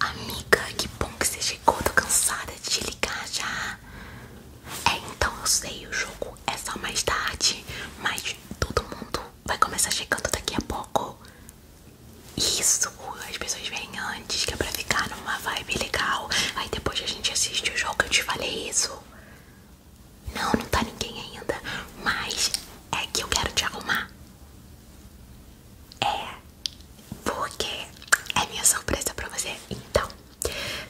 Amiga, que bom que você chegou, tô cansada de ligar já. É, então eu sei, o jogo é só mais tarde, mas todo mundo vai começar chegando daqui a pouco. Isso, as pessoas vêm antes, que é pra ficar numa vibe legal. Aí depois a gente assiste o jogo, eu te falei isso. Não, não tá ninguém ainda, mas é que eu quero te arrumar. É, porque é minha surpresa pra você. Então,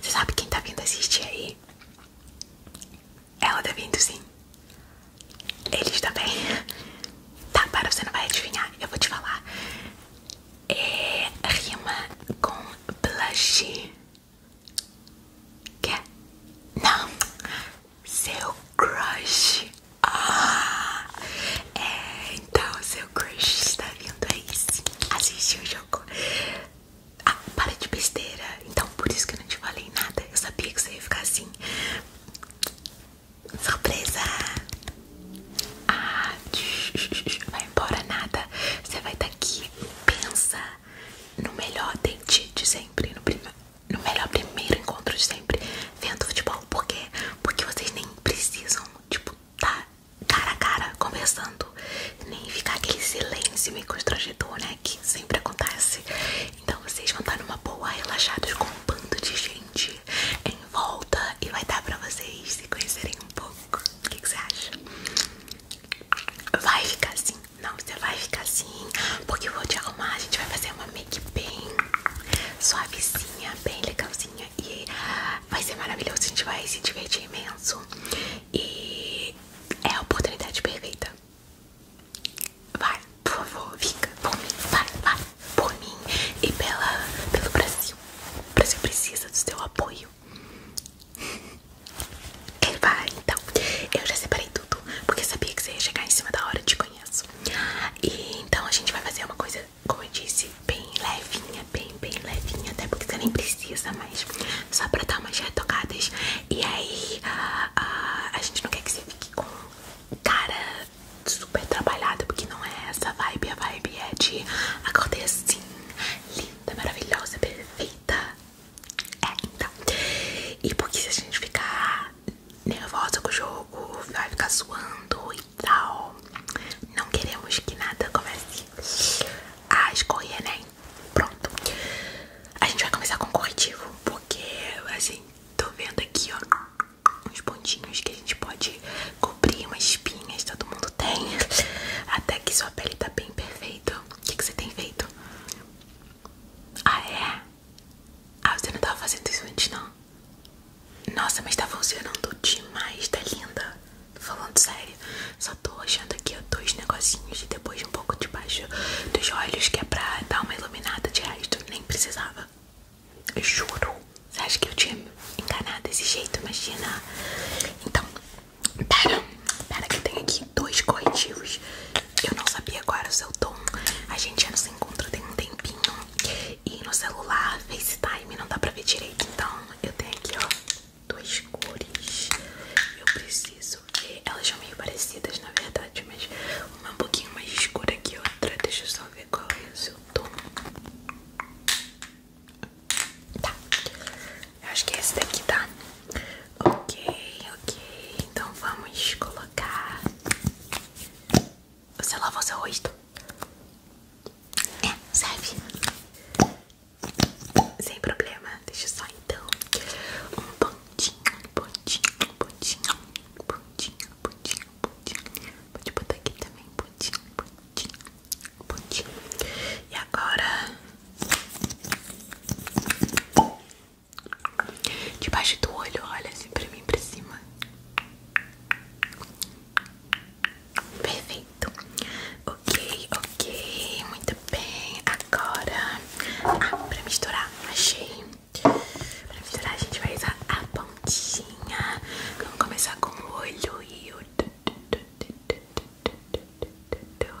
você sabe quem tá vindo assistir aí? Ela tá vindo sim. Eles bem Tá, para, você não vai adivinhar. Eu vou te falar. É rima com blush. Quer? Não. Seu crush. Ah! É, então seu crush está vindo aí sim. Assistir o jogo. Ah, para de besteira. Então por isso que eu não te falei nada. Eu sabia que você ia ficar assim. Surpresa! Ah, vai embora nada. Você vai estar aqui. Pensa no melhor dente de sempre. No primeiro no melhor primeiro encontro de sempre vendo futebol. Por quê? Porque vocês nem precisam, tipo, tá cara a cara conversando, nem ficar aquele silêncio meio constrangedor, né? Que sempre acontece. Então vocês vão estar numa boa, relaxados com um bando de gente em volta e vai dar pra vocês se conhecerem um pouco. O que, você acha? Vai ficar assim? Não, você vai ficar assim. Assim, porque eu vou te arrumar. A gente vai fazer uma make bem suavezinha, bem legalzinha. E vai ser maravilhoso. A gente vai se divertir imenso. E é a oportunidade perfeita. Vai, por favor, fica por mim. Vai, vai, por mim e pela, pelo Brasil. O Brasil precisa do seu apoio. Ele vai, então. Eu já separei tudo, porque sabia que você ia chegar em cima da hora de conhecer. E então a gente vai fazer uma coisa, como eu disse, bem levinha, bem, bem levinha, até porque você nem precisa mais, só pra dar umas retocadas. E aí ah, ah, a, gente não quer que você fique com cara super trabalhada, porque não é essa vibe, a vibe é de a acordar assim, linda, maravilhosa, perfeita. É, então. E porque se a gente ficar nervosa com o jogo, vai ficar suando e tal. Não queremos que nada comece a escorrer, né? Pronto. A gente vai começar com o corretivo, porque assim, tô vendo aqui, ó, uns pontinhos que a gente pode cobrir, umas espinhas, todo mundo tem. Até que sua pele tá bem perfeita. O que, que você tem feito? Ah, é? Ah, você não estava fazendo isso antes, não? Nossa, mas está funcionando demais, tá linda. Tô falando sério. Só tô achando aqui ó, dois negocinhos e depois um pouco debaixo dos olhos, que é pra dar uma iluminada de resto. Nem precisava. juro. Você acha que eu tinha enganado desse jeito? Imagina. Então, pera. Pera que tem aqui dois corretivos eu não sabia qual era o seu tom. A gente já nos se encontra tem um tempinho. E no celular, FaceTime, não dá pra ver direito. Então, eu tenho aqui, ó, duas cores. Eu preciso ver. Elas são meio parecidas, na verdade, mas uma é um pouquinho mais escura que a outra. Deixa eu só ver qual é o seu tom. Tá. Eu acho que é esse daqui tá. Ok, ok. Então vamos colocar. Você lavou seu rosto? É, serve. Sem problema. Deixa só então. Um pontinho, pontinho, pontinho, pontinho, pontinho, pontinho. Pode botar aqui também, pontinho, pontinho, pontinho. E agora. Debaixo do olho, olha assim pra mim, pra cima. Perfeito. Ok, ok. Muito bem. Agora, ah, pra misturar, achei. Pra misturar, a gente vai usar a pontinha. Vamos começar com o olho e o.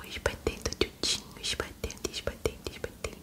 Espatendo, tudinho, espatendo, espatendo, espatendo.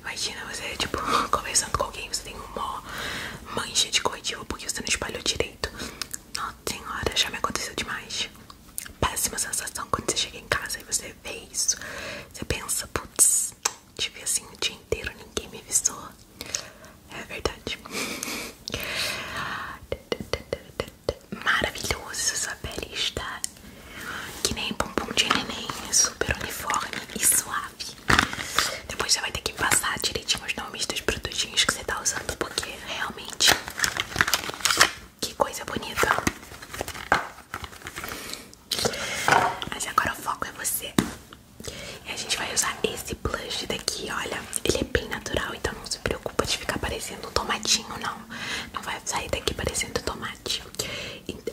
Imagina você, tipo, conversando com alguém, você tem uma mancha de corretivo porque você não espalhou direito. Nossa senhora, já me aconteceu demais. Péssima sensação quando você chega em casa e você vê isso. Você pensa, putz, tive assim o dia inteiro, ninguém me avisou. É verdade. Maravilhoso, sua pele está que nem bumbum de neném, super uniforme e suave. Depois você vai ter que passar direitinho os nomes dos produtinhos que você tá usando, porque realmente. Que coisa bonita. Mas agora o foco é você. E a gente vai usar esse blush daqui, olha. Ele é bem natural, então não se preocupa de ficar parecendo um tomatinho, não. Não vai sair daqui parecendo tomate.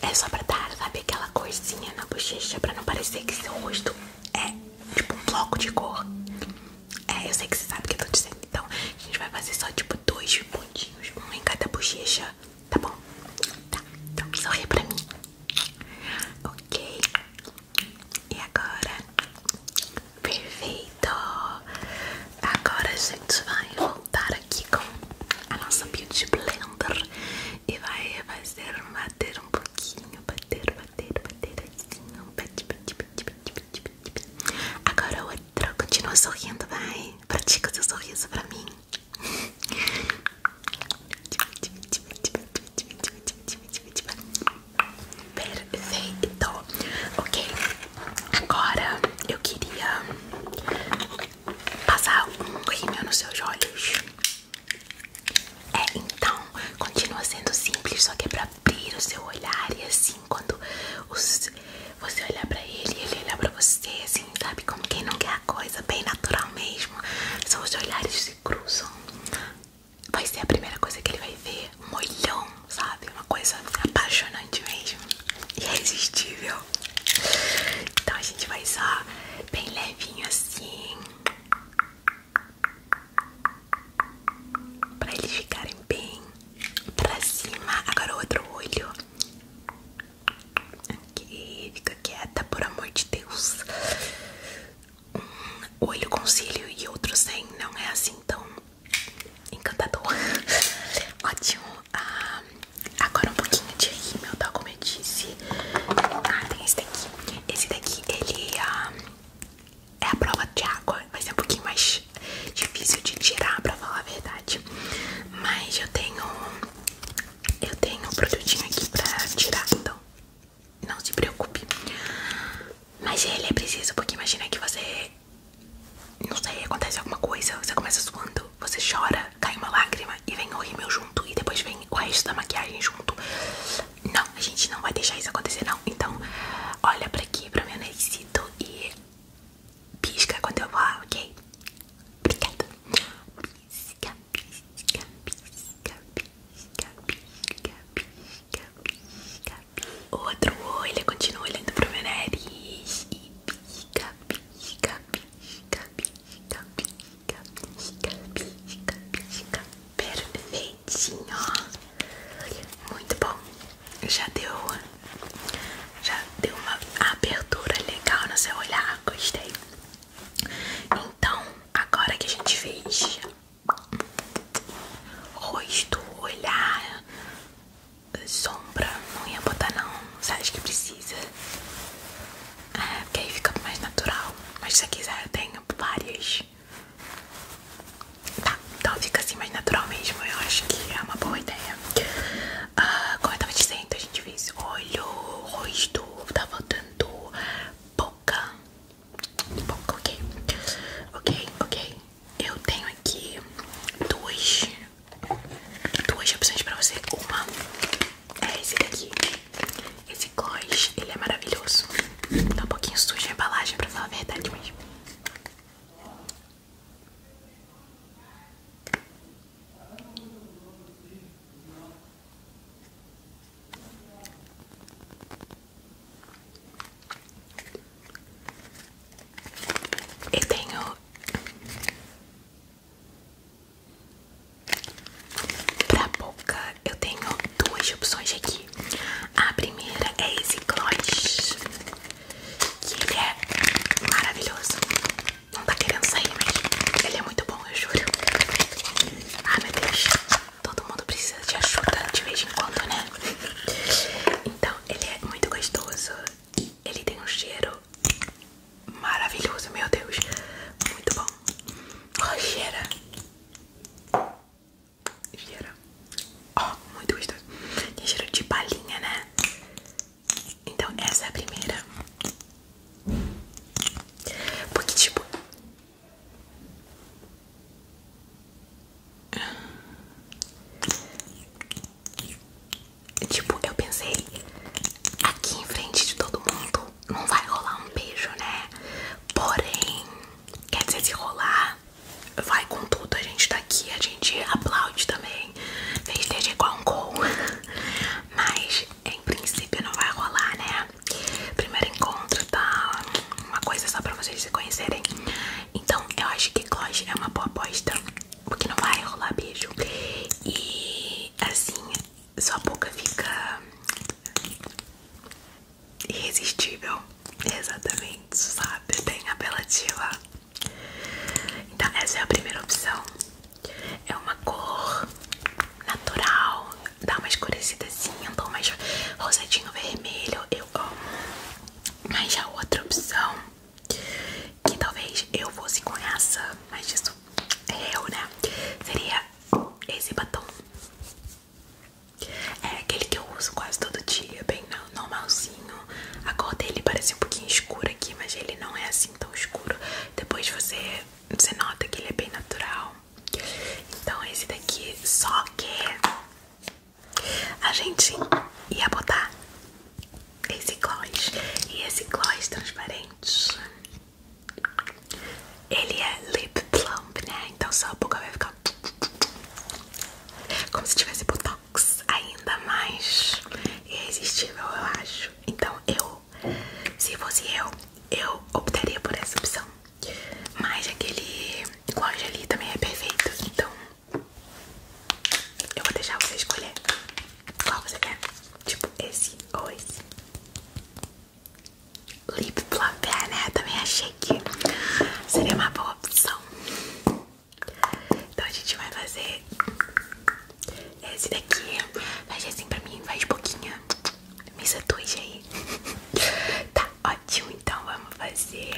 É só pra dar, sabe, aquela corzinha na bochecha pra não parecer que seu rosto é tipo um bloco de cor. É, eu sei que você sabe o que eu tô dizendo. Então, a gente vai fazer só tipo dois pontinhos, um em cada bochecha, tá bom? Tá, então sorri pra mim. Ok. E agora? Perfeito. Agora a gente vai montar aqui com a nossa Beauty Blender e vai fazer bater um pouquinho, bater, bater, bater Agora outra, continua sorrindo, vai, pratica seu sorriso pra mim. Perfeito, ok. Agora eu queria passar um rímel nos seus olhos. É, então, continua sendo simples, só que é pra abrir o seu olhar e assim, quando você olhar pra ele e ele olhar pra você, assim, sabe? Como quem não quer a coisa, bem natural mesmo. Só os olhares se cruzam. Vai ser a primeira coisa que ele vai ver, molhão sabe? Uma coisa apaixonante mesmo, é irresistível. Então a gente vai só bem levinho assim, para eles ficarem bem para cima. Agora o outro olho. Aqui, fica quieta, por amor de Deus. Um olho com cílio e outro sem, não é assim tão encantador. Ótimo. Ah, Agora um pouquinho de rímel, tá? Como eu disse. Ah, tem esse daqui. Esse daqui, ele é a é prova de água. mas é um pouquinho mais difícil de tirar, pra falar a verdade. Mas eu tenho... Eu tenho um produtinho aqui pra tirar, então não se preocupe. Mas ele é preciso, porque imagina que você não sei, acontece alguma coisa, você começa suando, você chora, cai uma lágrima e vem o rímel junto e depois vem o resto da maquiagem junto. Não, a gente não vai deixar isso acontecer não. Então, olha pra aqui, pra meu naricito e pisca quando eu falar, ok? Obrigada. Pisca, pisca, pisca, pisca, pisca, pisca, pisca. O outro olho continua olhando pro meu nariz e pisca, pisca. Gabi, Gabi, Gabi, Gabi, Gabi, Gabi, Gabi. Perfeitinho, ó. Muito bom. já deu uma abertura legal no seu olhar. Gostei. Então, agora que a gente fez rosto, olhar, sombra, não ia botar não, sabes que precisa, ah, porque aí fica mais natural, mas se quiser eu tenho várias, tá, então fica assim mais natural mesmo, eu acho que é uma boa ideia. Ah, como eu tava dizendo, a gente fez olho, rosto, tá faltando boca, boca, ok, ok, ok eu tenho aqui duas, duas opções pra você. Uma é esse daqui. Esse gloss, ele é maravilhoso. Tá um pouquinho sujo a embalagem, pra falar a verdade mesmo. Eu tenho pra boca eu tenho duas opções aqui. A primeira é esse gloss, que ele é maravilhoso. Não tá querendo sair, mas ele é muito bom, eu juro. Ah, meu Deus, todo mundo precisa de ajuda de vez em quando, né? Então, ele é muito gostoso. Ele tem um cheiro maravilhoso, meu Deus. Muito bom. Oh, cheira. Cheira. Ó, oh, muito gostoso. Tem cheiro de balinha, né? Então essa é a primeira. Porque tipo... Tipo, eu pensei, aqui em frente de todo mundo não vai rolar um beijo, né? Porém, quer dizer, se rolar, vai com tudo. A gente tá aqui, a gente aplaude também. Fez desde igual um gol. Mas, em princípio, não vai rolar, né? Primeiro encontro tá uma coisa só pra vocês se conhecerem. Então eu acho que Gloss é uma boa aposta, porque não vai rolar beijo. E assim, sua boca fica irresistível. Exatamente, sabe? Bem apelativa. Então essa é a primeira opção. É uma cor natural, dá uma escurecidazinha, assim, um tom mais rosadinho vermelho, eu amo. Mas a outra opção que talvez eu fosse com essa, mas isso é eu, né? Seria esse batom. É aquele que eu uso quase todo dia, bem normalzinho. A cor dele parece um pouquinho escura aqui, mas ele não é assim tão escuro. Depois você, você nota que ele é bem natural. Então esse daqui, só que a gente ia botar esse gloss e esse gloss transparente. Ele é lip plump, né? Então sua boca vai ficar como se tivesse botox, ainda mais irresistível, eu acho. Então eu, se fosse eu, eu optaria por essa opção. Mas aquele gloss ali também é perfeito, então eu vou deixar você escolher qual você quer. Tipo esse ou esse. Lip Plumper, ah, né? Também achei que seria uma boa opção. Então a gente vai fazer esse daqui. Faz assim pra mim, faz boquinha, Me seduz aí. tá ótimo, então vamos fazer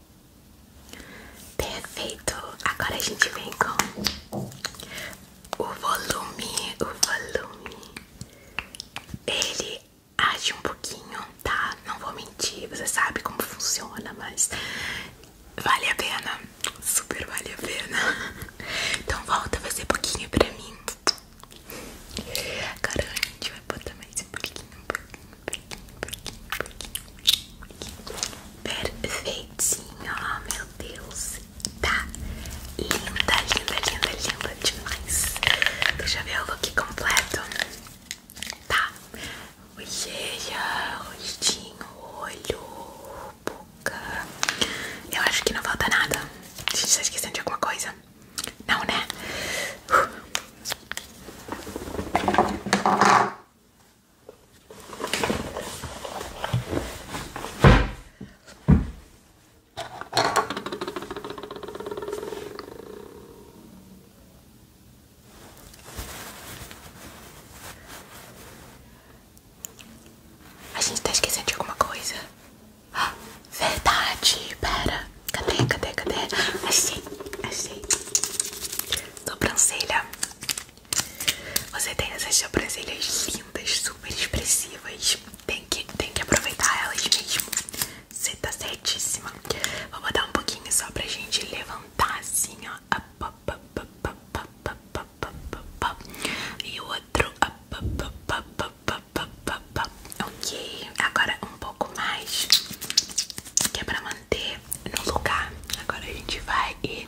Perfeito. Agora a gente vem com o volume, o volume. Ele age um pouquinho, tá? Não vou mentir, você sabe como funciona, mas vale a pena. Super vale a pena. Então volta, vai ser pouquinho pra mim. Agora a gente vai botar mais um pouquinho, um pouquinho, um pouquinho. Perfeitinho, oh meu Deus, tá linda, linda, linda, linda demais. Deixa eu ver o look completo. Tá, olheira, rostinho, olho, boca. Eu acho que não falta nada. A Gente, tá esquecendo de alguma coisa? Não, né? Uh. A gente está esquecendo de alguma coisa. Ah, verdade, pera. Cadê, cadê, cadê? Achei, achei sobrancelha. Você tem essas sobrancelhas lindas, super expressivas. Tem que, tem que aproveitar elas mesmo. Você tá certíssima. Vou botar um pouquinho só pra gente levantar assim, ó. E o outro. Ok, agora um pouco mais. Que é pra manter manter no lugar. Agora a gente vai e.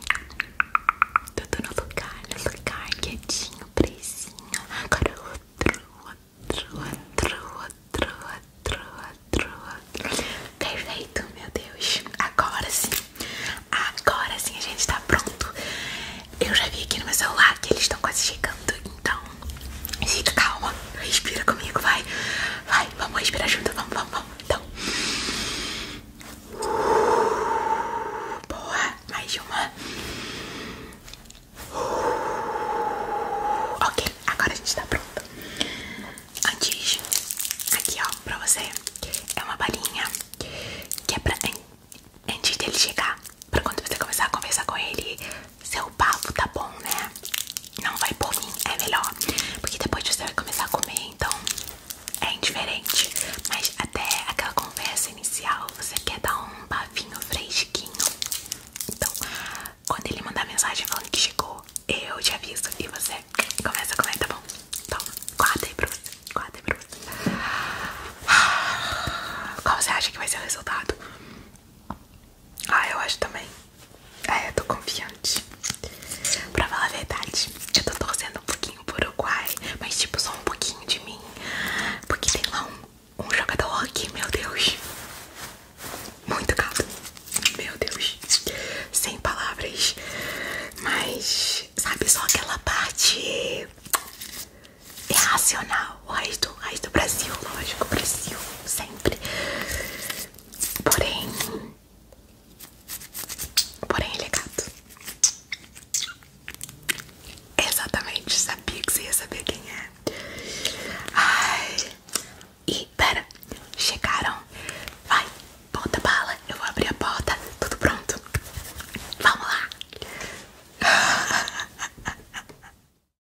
Tudo no lugar, no lugar, quietinho, presinho. Agora outro, outro, outro, outro, outro, outro, Perfeito, meu Deus. Agora sim. Agora sim a gente tá pronto. Eu já vi aqui no meu celular que eles estão quase chegando, então Fica calma, respira comigo, vai. Vai, vamos respirar junto, vamos, vamos, vamos. Então. boa, mais uma. ok, agora a gente tá pronto. Antes, aqui ó, pra você, é uma balinha que é pra antes dele chegar, pra quando você começar a conversar com ele, seu bafo tá bom, né? Não vai por mim, é melhor. Porque depois você vai começar a comer, então é indiferente. Mas até aquela conversa inicial, você quer dar um bafinho fresquinho. Então, quando ele mandar mensagem falando que chegou, eu te aviso e você começa a comer, tá bom? Então, guarda aí pra você, guarda aí pra você. Ah, qual você acha que vai ser o resultado? Ah, eu acho também. É, eu tô confiante. Pra falar a verdade, eu tô torcendo um pouquinho pro Uruguai, mas tipo só um pouquinho de mim. Porque tem lá um, jogador aqui, meu Deus. Muito gato. Meu Deus. Sem palavras. Mas, sabe, só aquela parte irracional o raiz do, raiz do Brasil, lógico, Brasil, sempre. Porém, porém ele é gato. Exatamente, sabia que você ia saber quem é. Ai, e pera, chegaram. Vai, bota bala, eu vou abrir a porta, tudo pronto. Vamos lá.